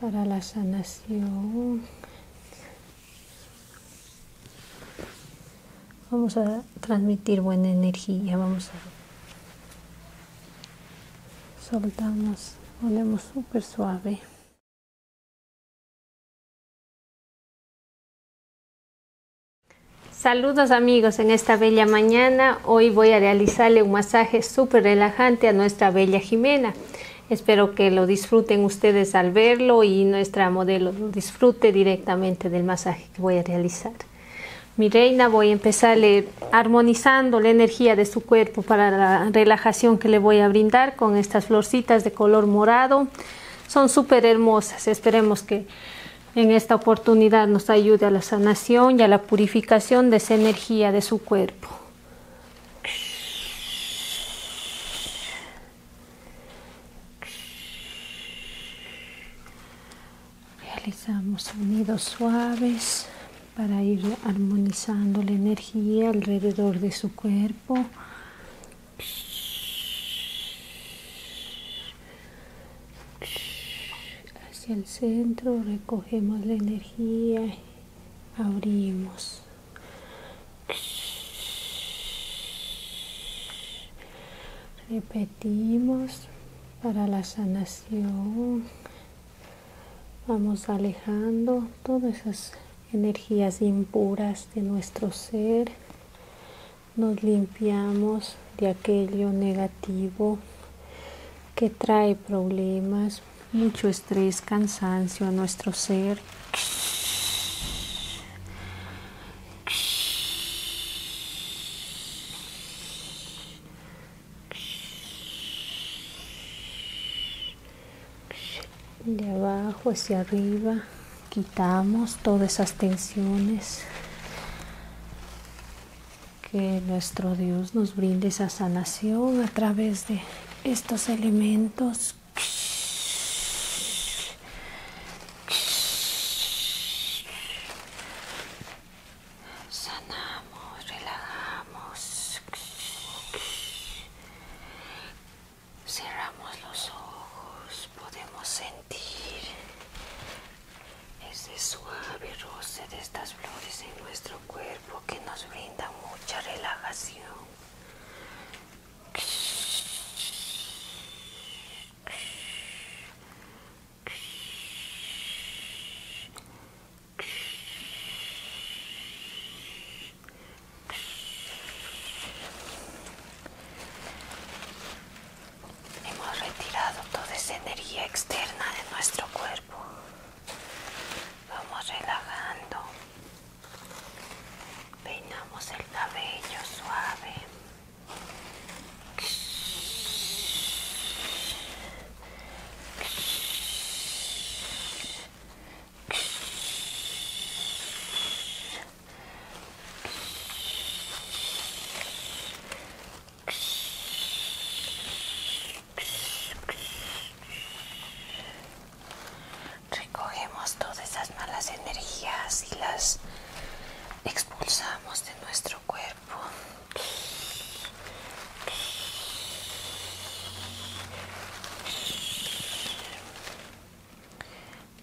para la sanación. Vamos a transmitir buena energía, vamos a soltamos, ponemos súper suave. Saludos amigos, en esta bella mañana hoy voy a realizarle un masaje súper relajante a nuestra bella Jimena. Espero que lo disfruten ustedes al verlo y nuestra modelo lo disfrute directamente del masaje que voy a realizar. Mi reina, voy a empezarle armonizando la energía de su cuerpo para la relajación que le voy a brindar con estas florcitas de color morado. Son súper hermosas. Esperemos que en esta oportunidad nos ayude a la sanación y a la purificación de esa energía de su cuerpo. Realizamos sonidos suaves para ir armonizando la energía alrededor de su cuerpo. Hacia el centro recogemos la energía abrimos repetimos para la sanación vamos alejando todas esas energías impuras de nuestro ser nos limpiamos de aquello negativo que trae problemas, mucho estrés, cansancio a nuestro ser. De abajo hacia arriba, quitamos todas esas tensiones. Que nuestro Dios nos brinde esa sanación a través de estos elementos sanamos relajamos cerramos los ojos podemos sentir ese suave roce de estas flores en nuestro cuerpo que nos brinda mucha relajación. Hemos retirado toda esa energía externa de nuestro cuerpo. Vamos relajando. Peinamos el cabello suave. Recogemos todas esas malas energías y las expulsamos de nuestro cuerpo.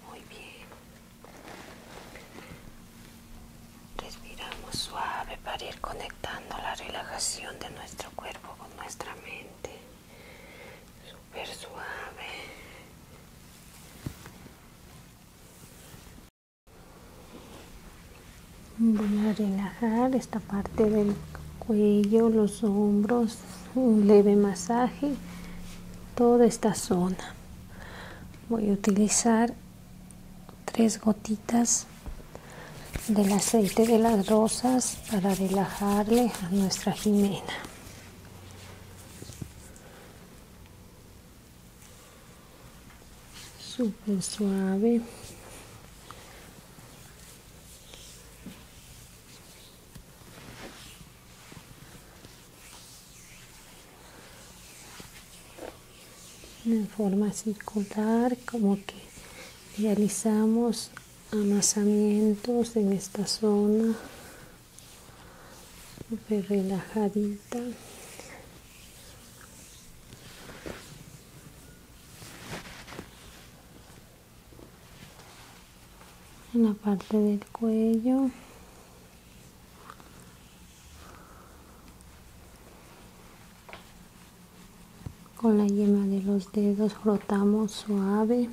Muy bien. Respiramos suave para ir conectando la relajación de nuestro cuerpo con nuestra mente super suave voy a relajar esta parte del cuello los hombros un leve masaje toda esta zona voy a utilizar tres gotitas del aceite de las rosas para relajarle a nuestra Jimena. super suave. En forma circular, como que realizamos amasamientos en esta zona relajadita en la parte del cuello con la yema de los dedos frotamos suave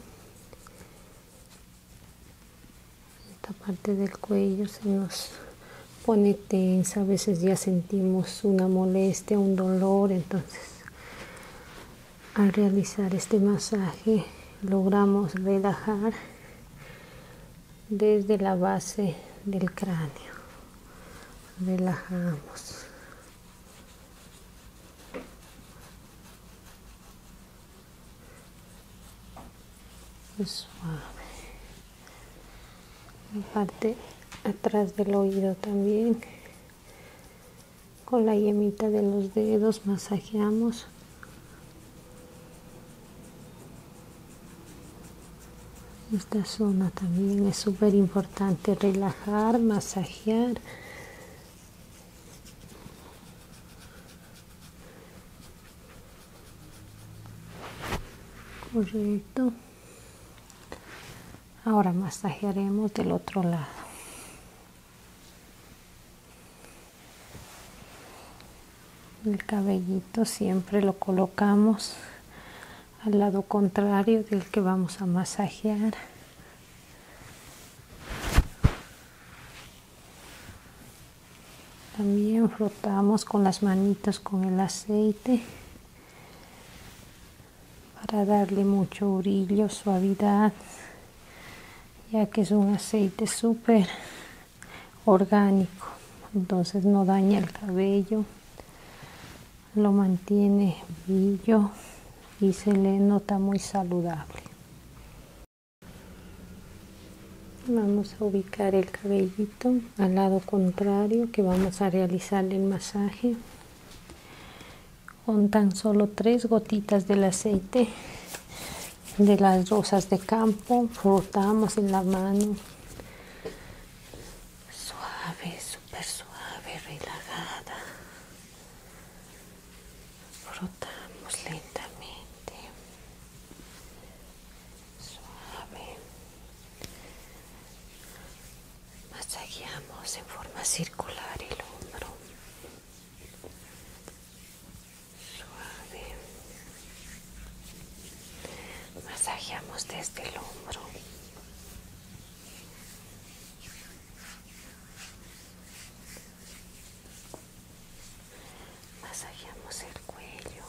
esta parte del cuello se nos pone tensa a veces ya sentimos una molestia un dolor entonces al realizar este masaje logramos relajar desde la base del cráneo relajamos suave la parte atrás del oído también con la yemita de los dedos masajeamos esta zona también es súper importante relajar masajear correcto ahora masajearemos del otro lado el cabellito siempre lo colocamos al lado contrario del que vamos a masajear también frotamos con las manitas con el aceite para darle mucho brillo suavidad ya que es un aceite súper orgánico entonces no daña el cabello lo mantiene brillo y se le nota muy saludable. Vamos a ubicar el cabellito al lado contrario que vamos a realizar el masaje con tan solo tres gotitas del aceite de las rosas de campo frotamos en la mano suave, super suave, relajada frotamos lentamente suave masajeamos en forma circular el hombro suave masajeamos desde el hombro Masajeamos el cuello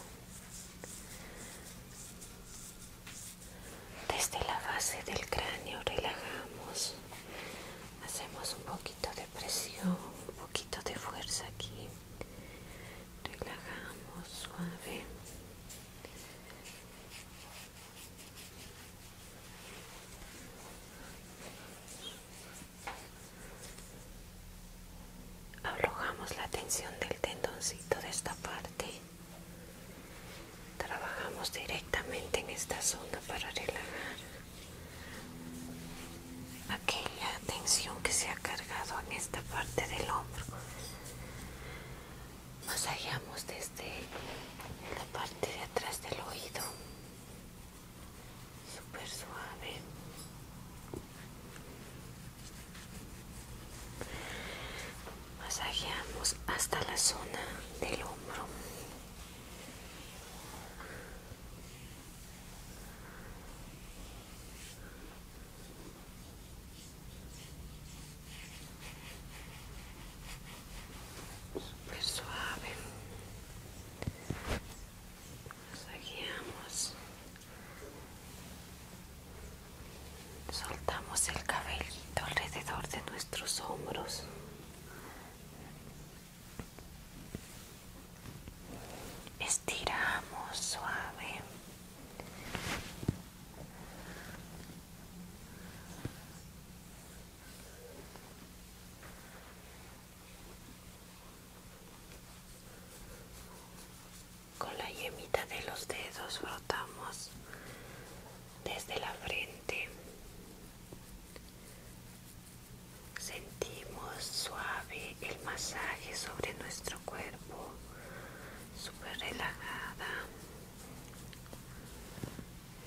desde la base del cráneo relajamos hacemos un poquito de presión un poquito de fuerza aquí relajamos suave Alojamos la tensión del tendoncito de esta parte. Trabajamos directamente en esta zona para relajar aquella tensión que se ha cargado en esta parte del hombro masajeamos desde la parte de atrás del oído súper suave masajeamos hasta la zona del hombro Súper pues suave. Masajeamos. Soltamos el cabello alrededor de nuestros hombros. Estiramos suave. Con la yemita de los dedos frotamos desde la frente. Sentimos suave el masaje sobre nuestro cuerpo, súper relajada.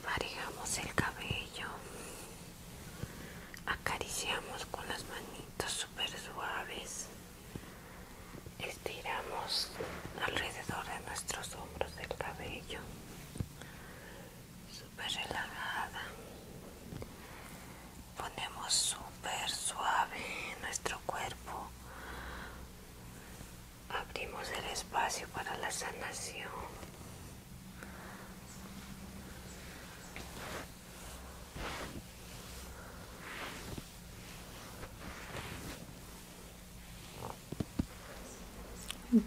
Manejamos el cabello, acariciamos con las manitos super suaves, estiramos alrededor de nuestros hombros el cabello, super relajada, ponemos super suave nuestro cuerpo abrimos el espacio para la sanación.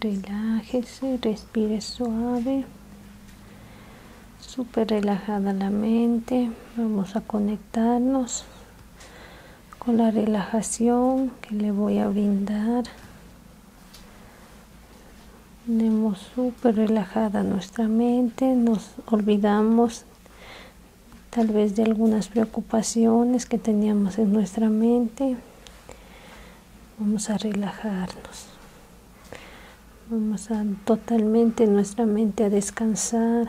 Relájese, respire suave, súper relajada la mente. Vamos a conectarnos con la relajación que le voy a brindar. Tenemos súper relajada nuestra mente, nos olvidamos tal vez de algunas preocupaciones que teníamos en nuestra mente. Vamos a relajarnos. Vamos a totalmente nuestra mente a descansar,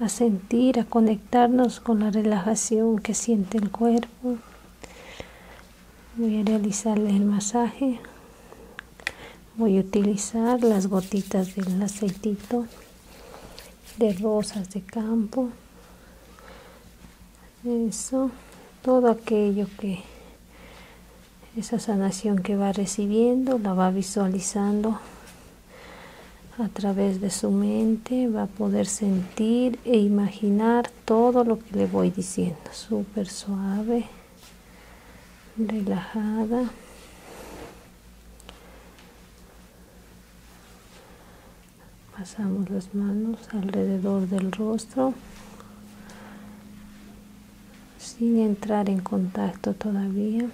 a sentir, a conectarnos con la relajación que siente el cuerpo. Voy a realizarle el masaje. Voy a utilizar las gotitas del aceitito de rosas de campo. Eso, todo aquello que esa sanación que va recibiendo la va visualizando a través de su mente va a poder sentir e imaginar todo lo que le voy diciendo. Súper suave, relajada. Pasamos las manos alrededor del rostro sin entrar en contacto todavía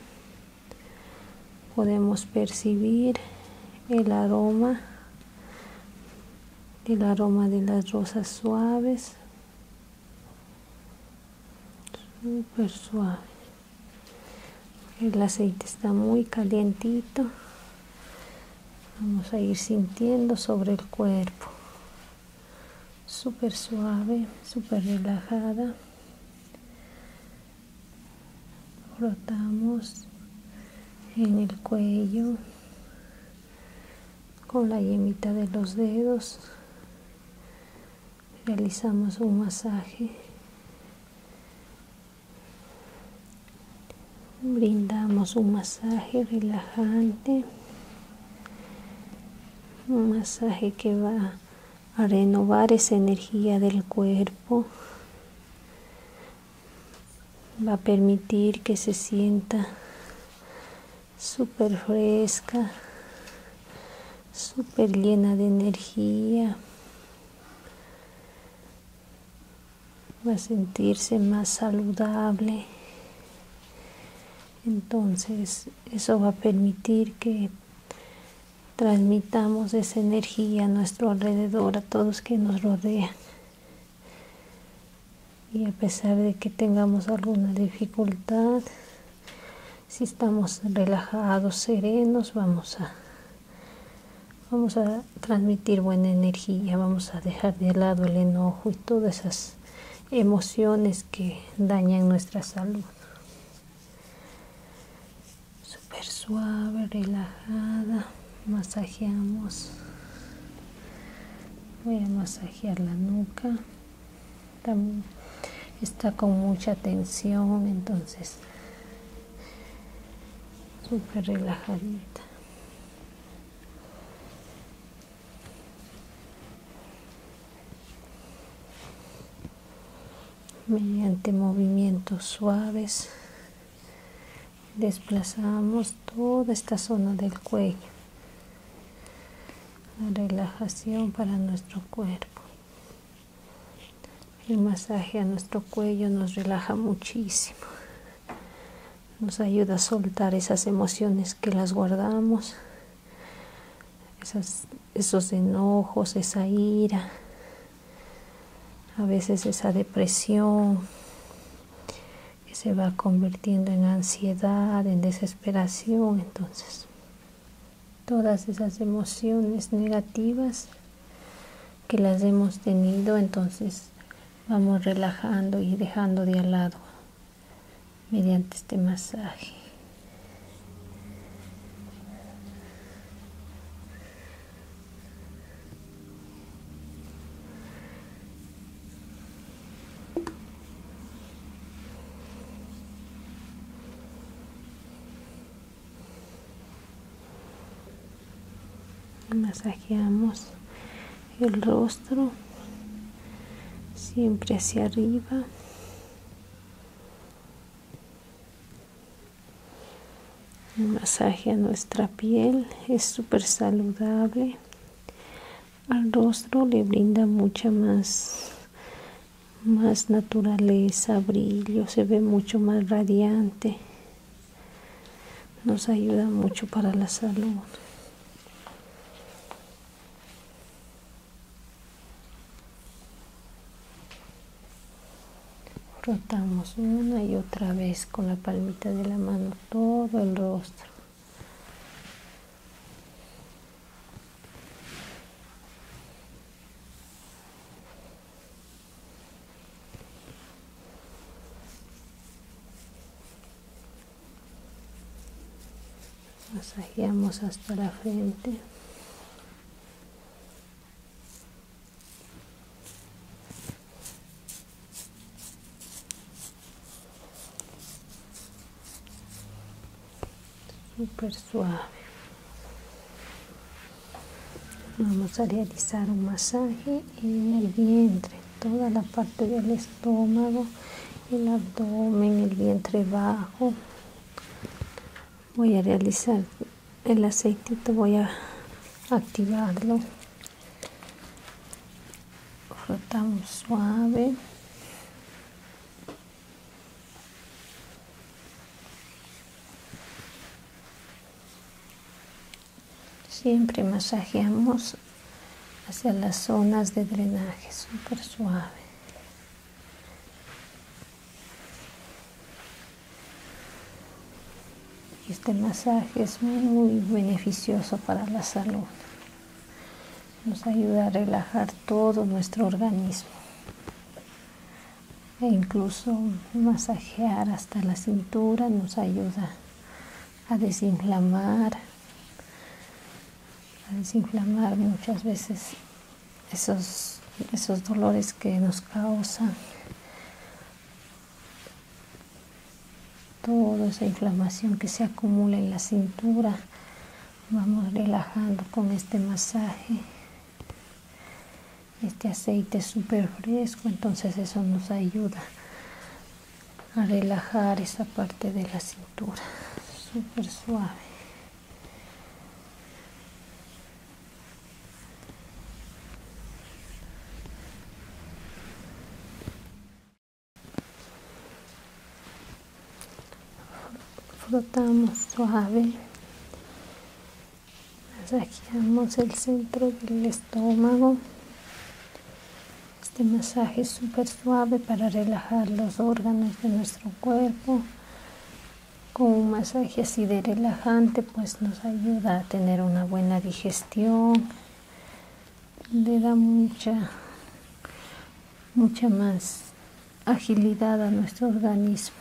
podemos percibir el aroma el aroma de las rosas suaves súper suave el aceite está muy calientito vamos a ir sintiendo sobre el cuerpo súper suave súper relajada frotamos en el cuello con la yemita de los dedos realizamos un masaje brindamos un masaje relajante un masaje que va a renovar esa energía del cuerpo va a permitir que se sienta súper fresca, súper llena de energía. Va a sentirse más saludable. Entonces eso va a permitir que transmita necesitamos esa energía a nuestro alrededor, a todos que nos rodean. Y a pesar de que tengamos alguna dificultad, si estamos relajados, serenos, vamos a, vamos a transmitir buena energía, vamos a dejar de lado el enojo y todas esas emociones que dañan nuestra salud super suave, relajada. Masajeamos. Voy a masajear la nuca. está con mucha tensión, entonces súper relajadita. mediante movimientos suaves desplazamos toda esta zona del cuello la relajación para nuestro cuerpo el masaje a nuestro cuello nos relaja muchísimo nos ayuda a soltar esas emociones que las guardamos esos enojos esa ira a veces esa depresión se va convirtiendo en ansiedad, en desesperación, entonces todas esas emociones negativas que las hemos tenido, entonces vamos relajando y dejando de al lado mediante este masaje masajeamos el rostro siempre hacia arriba un masaje a nuestra piel es súper saludable. Al rostro le brinda mucha más, más naturaleza, brillo, se ve mucho más radiante. Nos ayuda mucho para la salud. Rotamos una y otra vez con la palmita de la mano todo el rostro. Masajeamos hasta la frente súper suave vamos a realizar un masaje en el vientre toda la parte del estómago el abdomen el vientre bajo voy a realizar el aceitito voy a activarlo frotamos suave siempre masajeamos hacia las zonas de drenaje super suave este masaje es muy beneficioso para la salud. Nos ayuda a relajar todo nuestro organismo e incluso masajear hasta la cintura nos ayuda a desinflamar, a desinflamar muchas veces esos, esos dolores que nos causan toda esa inflamación que se acumula en la cintura vamos relajando con este masaje este aceite es súper fresco entonces eso nos ayuda a relajar esa parte de la cintura súper suave frotamos suave masajeamos el centro del estómago este masaje es súper suave para relajar los órganos de nuestro cuerpo con un masaje así de relajante pues nos ayuda a tener una buena digestión le da mucha, mucha más agilidad a nuestro organismo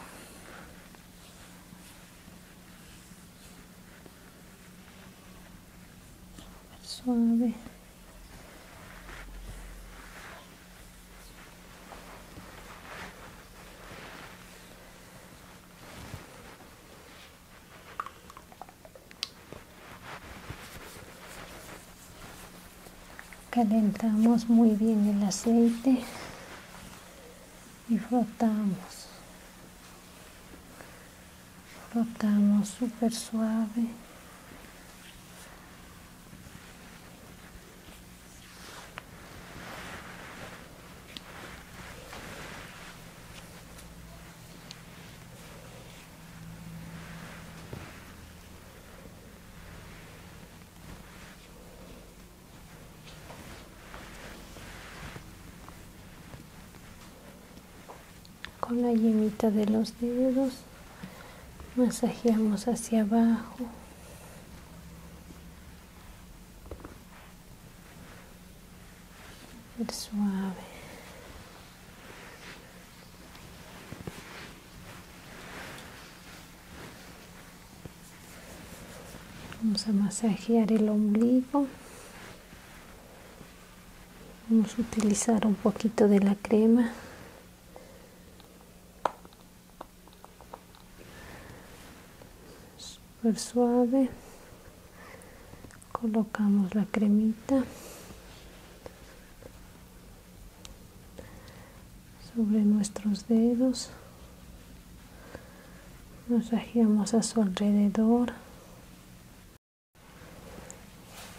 calentamos muy bien el aceite y frotamos frotamos super suave con la yemita de los dedos masajeamos hacia abajo suave. Vamos a masajear el ombligo. Vamos a utilizar un poquito de la crema suave colocamos la cremita sobre nuestros dedos masajeamos a su alrededor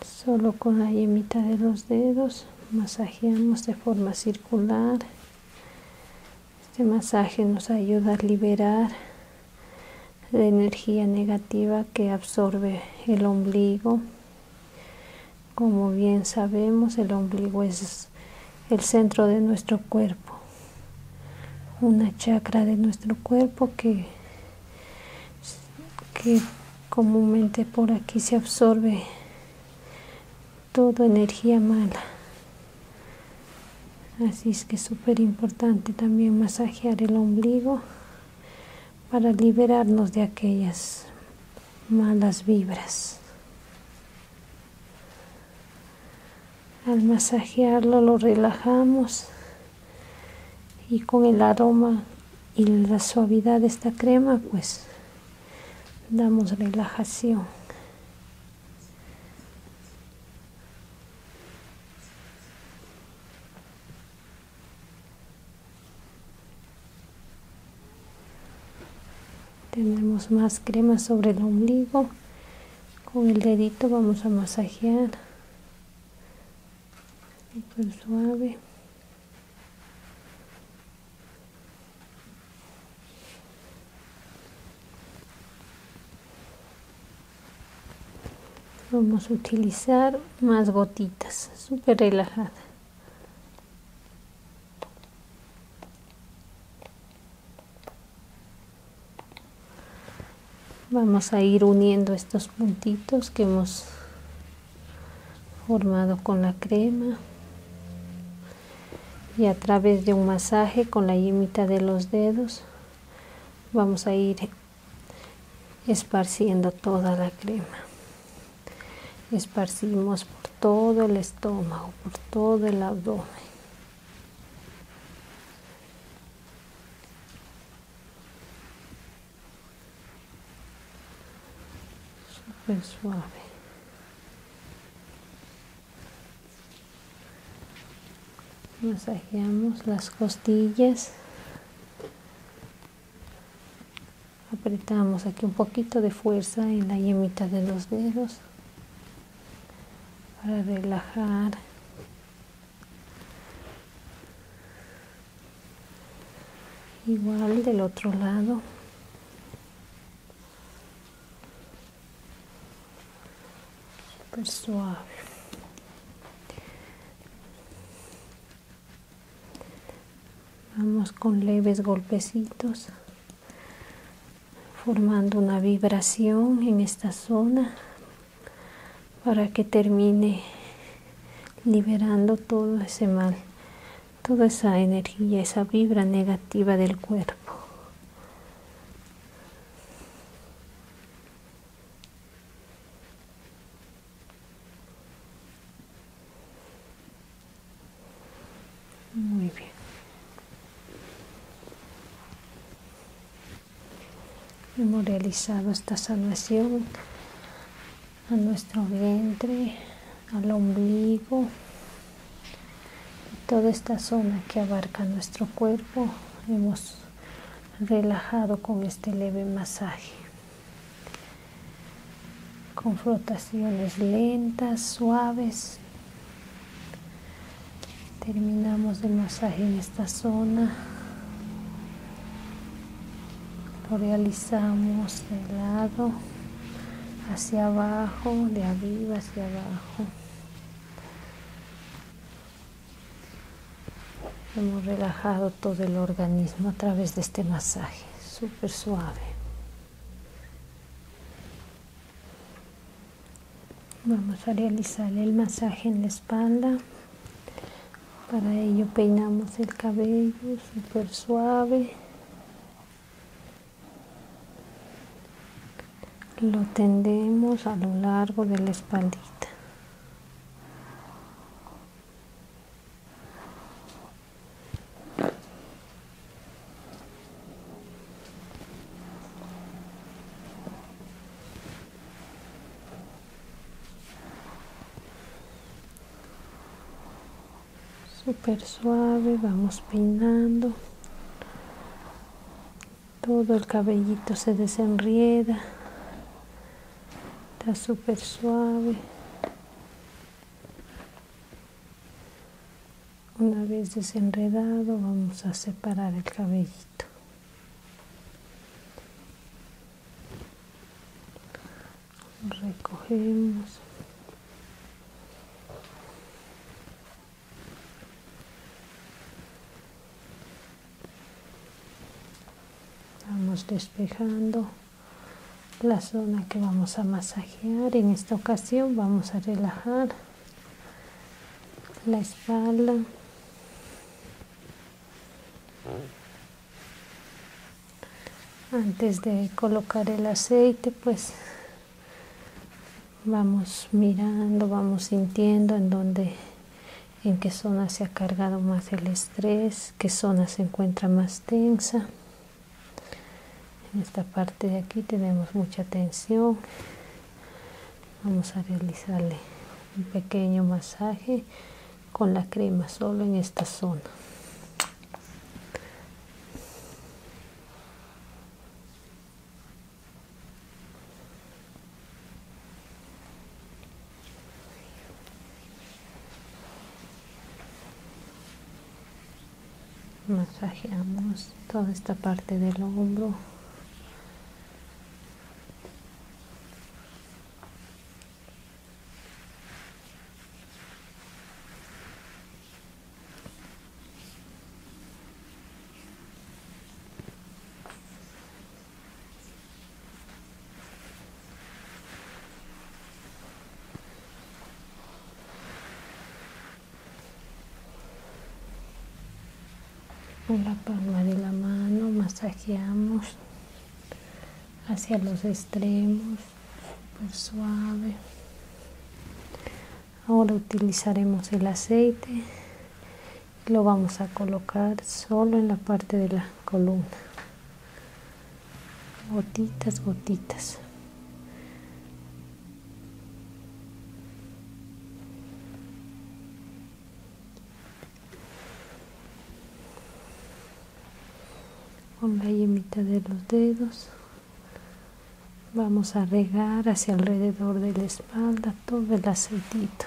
solo con la yemita de los dedos masajeamos de forma circular este masaje nos ayuda a liberar la energía negativa que absorbe el ombligo. Como bien sabemos, el ombligo es el centro de nuestro cuerpo, una chakra de nuestro cuerpo que, que comúnmente por aquí se absorbe toda energía mala así es que es súper importante también masajear el ombligo para liberarnos de aquellas malas vibras al masajearlo lo relajamos y con el aroma y la suavidad de esta crema pues damos relajación tenemos más crema sobre el ombligo. Con el dedito vamos a masajear. suave. Vamos a utilizar más gotitas, super relajada. Vamos a ir uniendo estos puntitos que hemos formado con la crema y a través de un masaje con la yema de los dedos vamos a ir esparciendo toda la crema esparcimos por todo el estómago por todo el abdomen suave masajeamos las costillas apretamos aquí un poquito de fuerza en la yemita de los dedos para relajar igual del otro lado suave vamos con leves golpecitos formando una vibración en esta zona para que termine liberando todo ese mal, toda esa energía, esa vibra negativa del cuerpo. Muy bien. Hemos realizado esta sanación a nuestro vientre, al ombligo, toda esta zona que abarca nuestro cuerpo. Hemos relajado con este leve masaje. Con flotaciones lentas, suaves. Terminamos el masaje en esta zona. Lo realizamos de lado hacia abajo, de arriba hacia abajo Hemos relajado todo el organismo a través de este masaje, super suave. Vamos a realizar el masaje en la espalda. Para ello peinamos el cabello super suave lo tendemos a lo largo de la espaldita super suave vamos peinando todo el cabellito se desenrieda está súper suave una vez desenredado vamos a separar el cabellito recogemos Vamos despejando la zona que vamos a masajear. En esta ocasión vamos a relajar la espalda. Antes de colocar el aceite, pues vamos mirando, vamos sintiendo en donde en qué zona se ha cargado más el estrés, qué zona se encuentra más tensa. En esta parte de aquí tenemos mucha tensión. Vamos a realizarle un pequeño masaje con la crema solo en esta zona masajeamos toda esta parte del hombro con la palma de la mano masajeamos hacia los extremos, súper suave. Ahora utilizaremos el aceite lo vamos a colocar solo en la parte de la columna gotitas gotitas con la yemita de los dedos vamos a regar hacia alrededor de la espalda todo el aceitito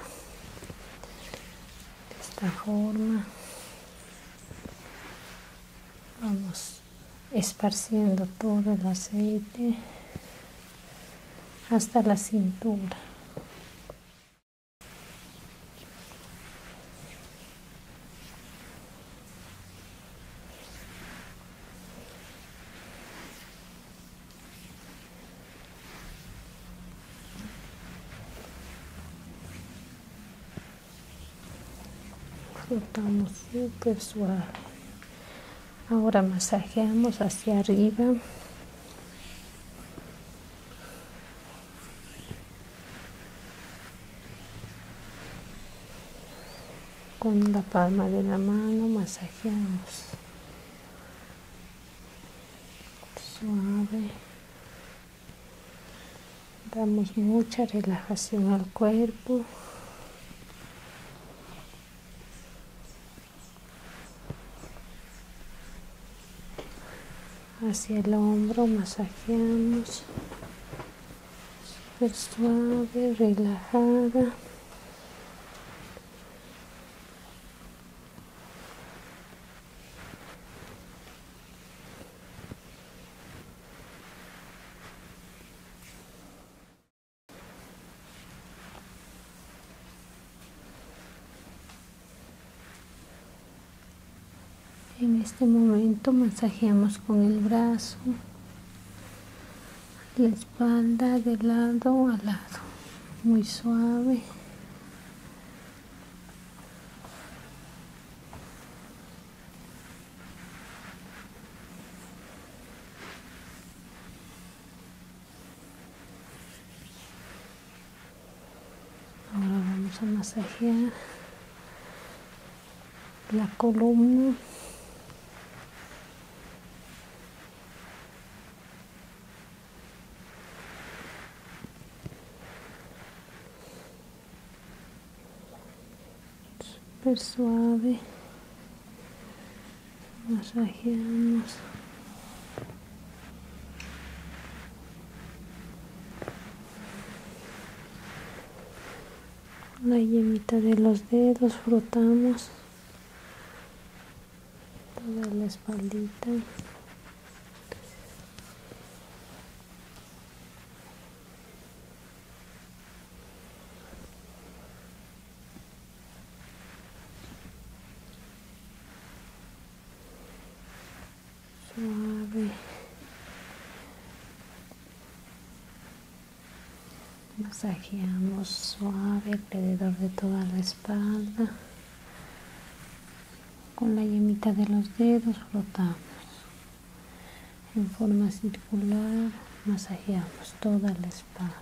de esta forma vamos esparciendo todo el aceite hasta la cintura flotamos súper suave. Ahora masajeamos hacia arriba. con la palma de la mano masajeamos suave. Damos mucha relajación al cuerpo. Hacia el hombro masajeamos. suave, relajada. En este momento masajeamos con el brazo, la espalda de lado a lado muy suave ahora vamos a masajear la columna super suave masajeamos la yemita de los dedos frotamos toda la espaldita suave masajeamos suave alrededor de toda la espalda con la yemita de los dedos flotamos en forma circular masajeamos toda la espalda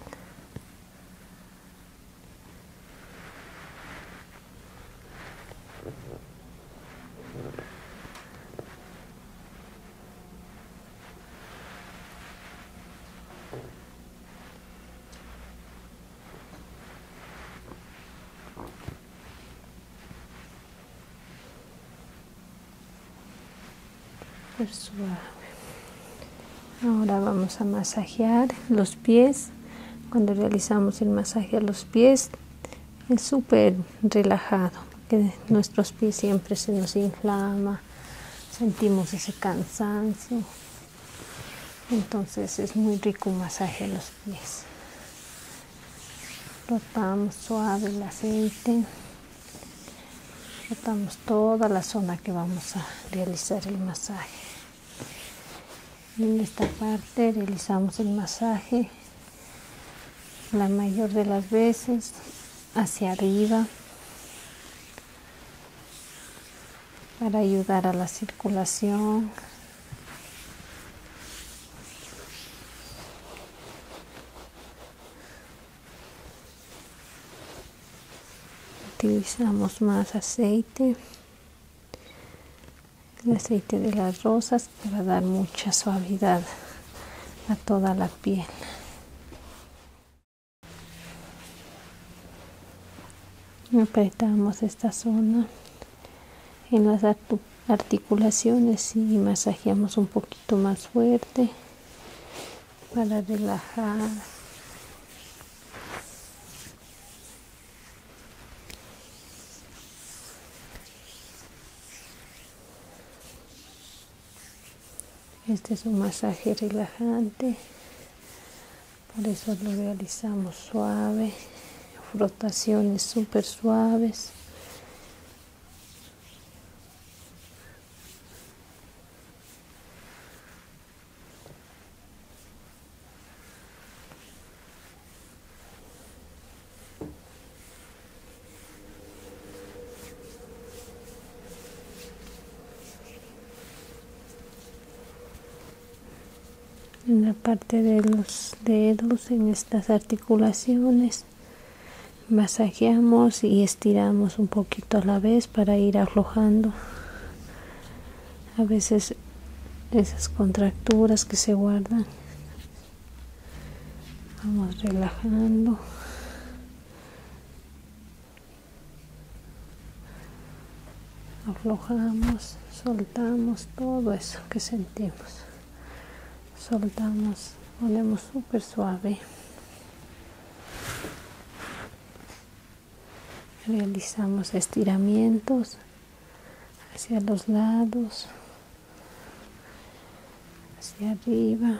pues, suave. Ahora vamos a masajear los pies. Cuando realizamos el masaje a los pies es súper relajado, que nuestros pies siempre se nos inflama, sentimos ese cansancio entonces es muy rico un masaje a los pies rotamos suave el aceite rotamos toda la zona que vamos a realizar el masaje en esta parte realizamos el masaje la mayor de las veces hacia arriba para ayudar a la circulación. Utilizamos más aceite, el aceite de las rosas para dar mucha suavidad a toda la piel apretamos esta zona en las articulaciones y masajeamos un poquito más fuerte para relajar este es un masaje relajante por eso lo realizamos suave, frotaciones súper suaves en la parte de los dedos en estas articulaciones masajeamos y estiramos un poquito a la vez para ir aflojando a veces esas contracturas que se guardan vamos relajando aflojamos soltamos todo eso que sentimos soltamos ponemos súper suave realizamos estiramientos hacia los lados hacia arriba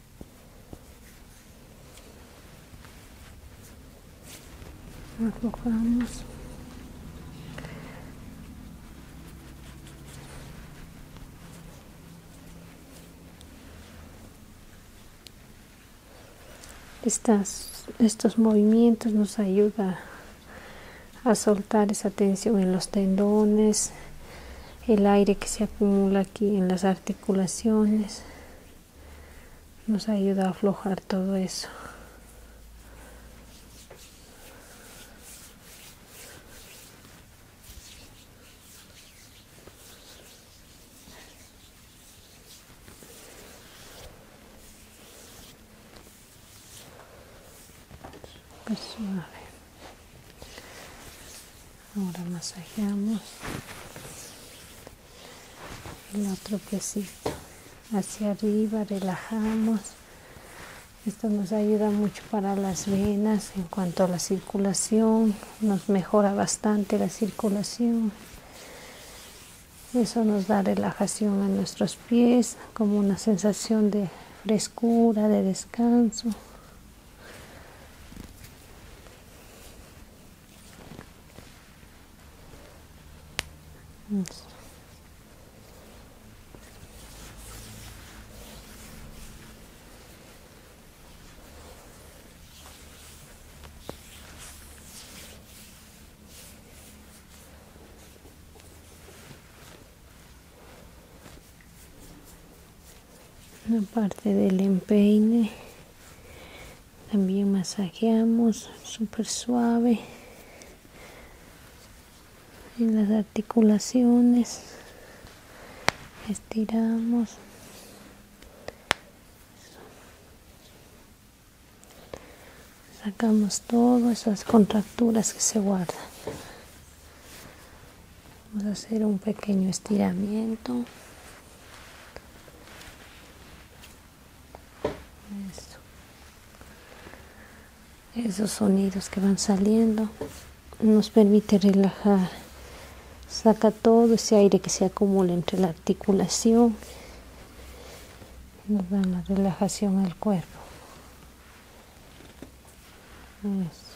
estos movimientos nos ayuda a soltar esa tensión en los tendones el aire que se acumula aquí en las articulaciones nos ayuda a aflojar todo eso. Ahora masajeamos el otro piecito hacia arriba relajamos esto nos ayuda mucho para las venas en cuanto a la circulación nos mejora bastante la circulación eso nos da relajación a nuestros pies como una sensación de frescura de descanso una parte del empeine también masajeamos súper suave en las articulaciones estiramos sacamos todas esas contracturas que se guardan vamos a hacer un pequeño estiramiento esos sonidos que van saliendo nos permite relajar. Saca todo ese aire que se acumula entre la articulación. Nos da la relajación al cuerpo. Eso.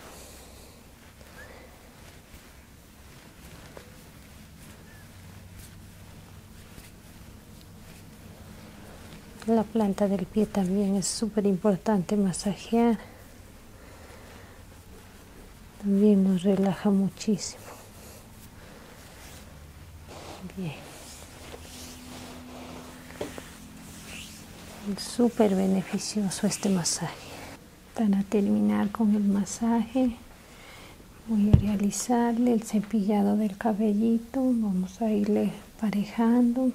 La planta del pie también es súper importante masajear. También nos relaja muchísimo. Bien. súper beneficioso este masaje para terminar con el masaje voy a realizarle el cepillado del cabellito vamos a irle parejando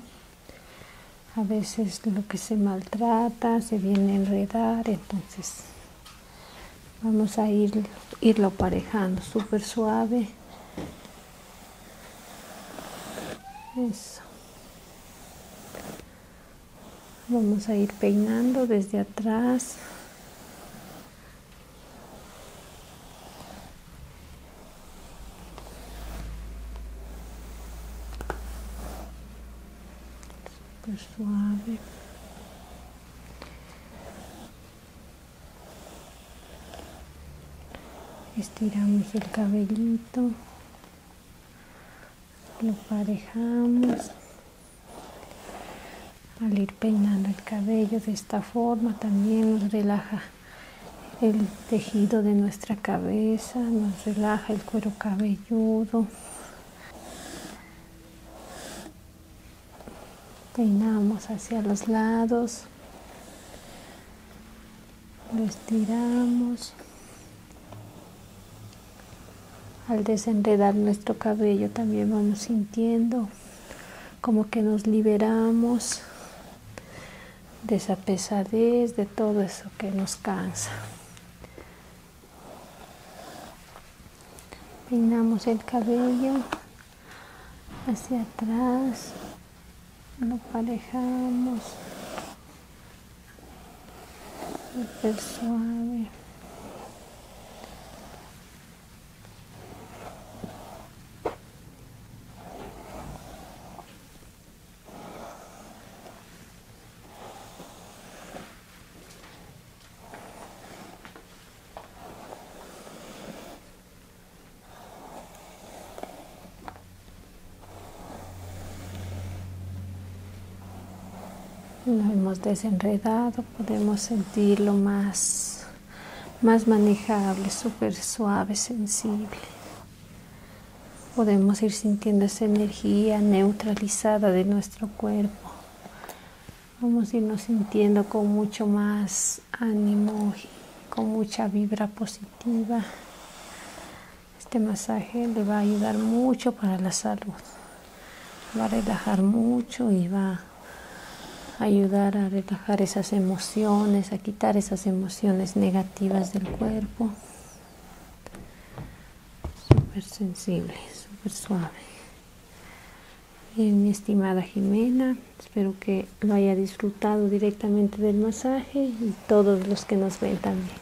a veces lo que se maltrata se viene a enredar entonces vamos a ir, irlo parejando súper suave Vamos a ir peinando desde atrás. suave. Estiramos el cabellito, lo parejamos al ir peinando el cabello de esta forma también nos relaja el tejido de nuestra cabeza nos relaja el cuero cabelludo peinamos hacia los lados lo estiramos al desenredar nuestro cabello también vamos sintiendo como que nos liberamos de esa pesadez, de todo eso que nos cansa. Peinamos el cabello hacia atrás, lo alejamos suave lo hemos desenredado podemos sentirlo más, más manejable, súper suave, sensible. Podemos ir sintiendo esa energía neutralizada de nuestro cuerpo. Vamos a irnos sintiendo con mucho más ánimo, con mucha vibra positiva. Este masaje le va a ayudar mucho para la salud va a relajar mucho y va a ayudar a relajar esas emociones, a quitar esas emociones negativas del cuerpo. Súper sensible, súper suave. Bien, mi estimada Jimena, espero que lo haya disfrutado directamente del masaje y todos los que nos ven también.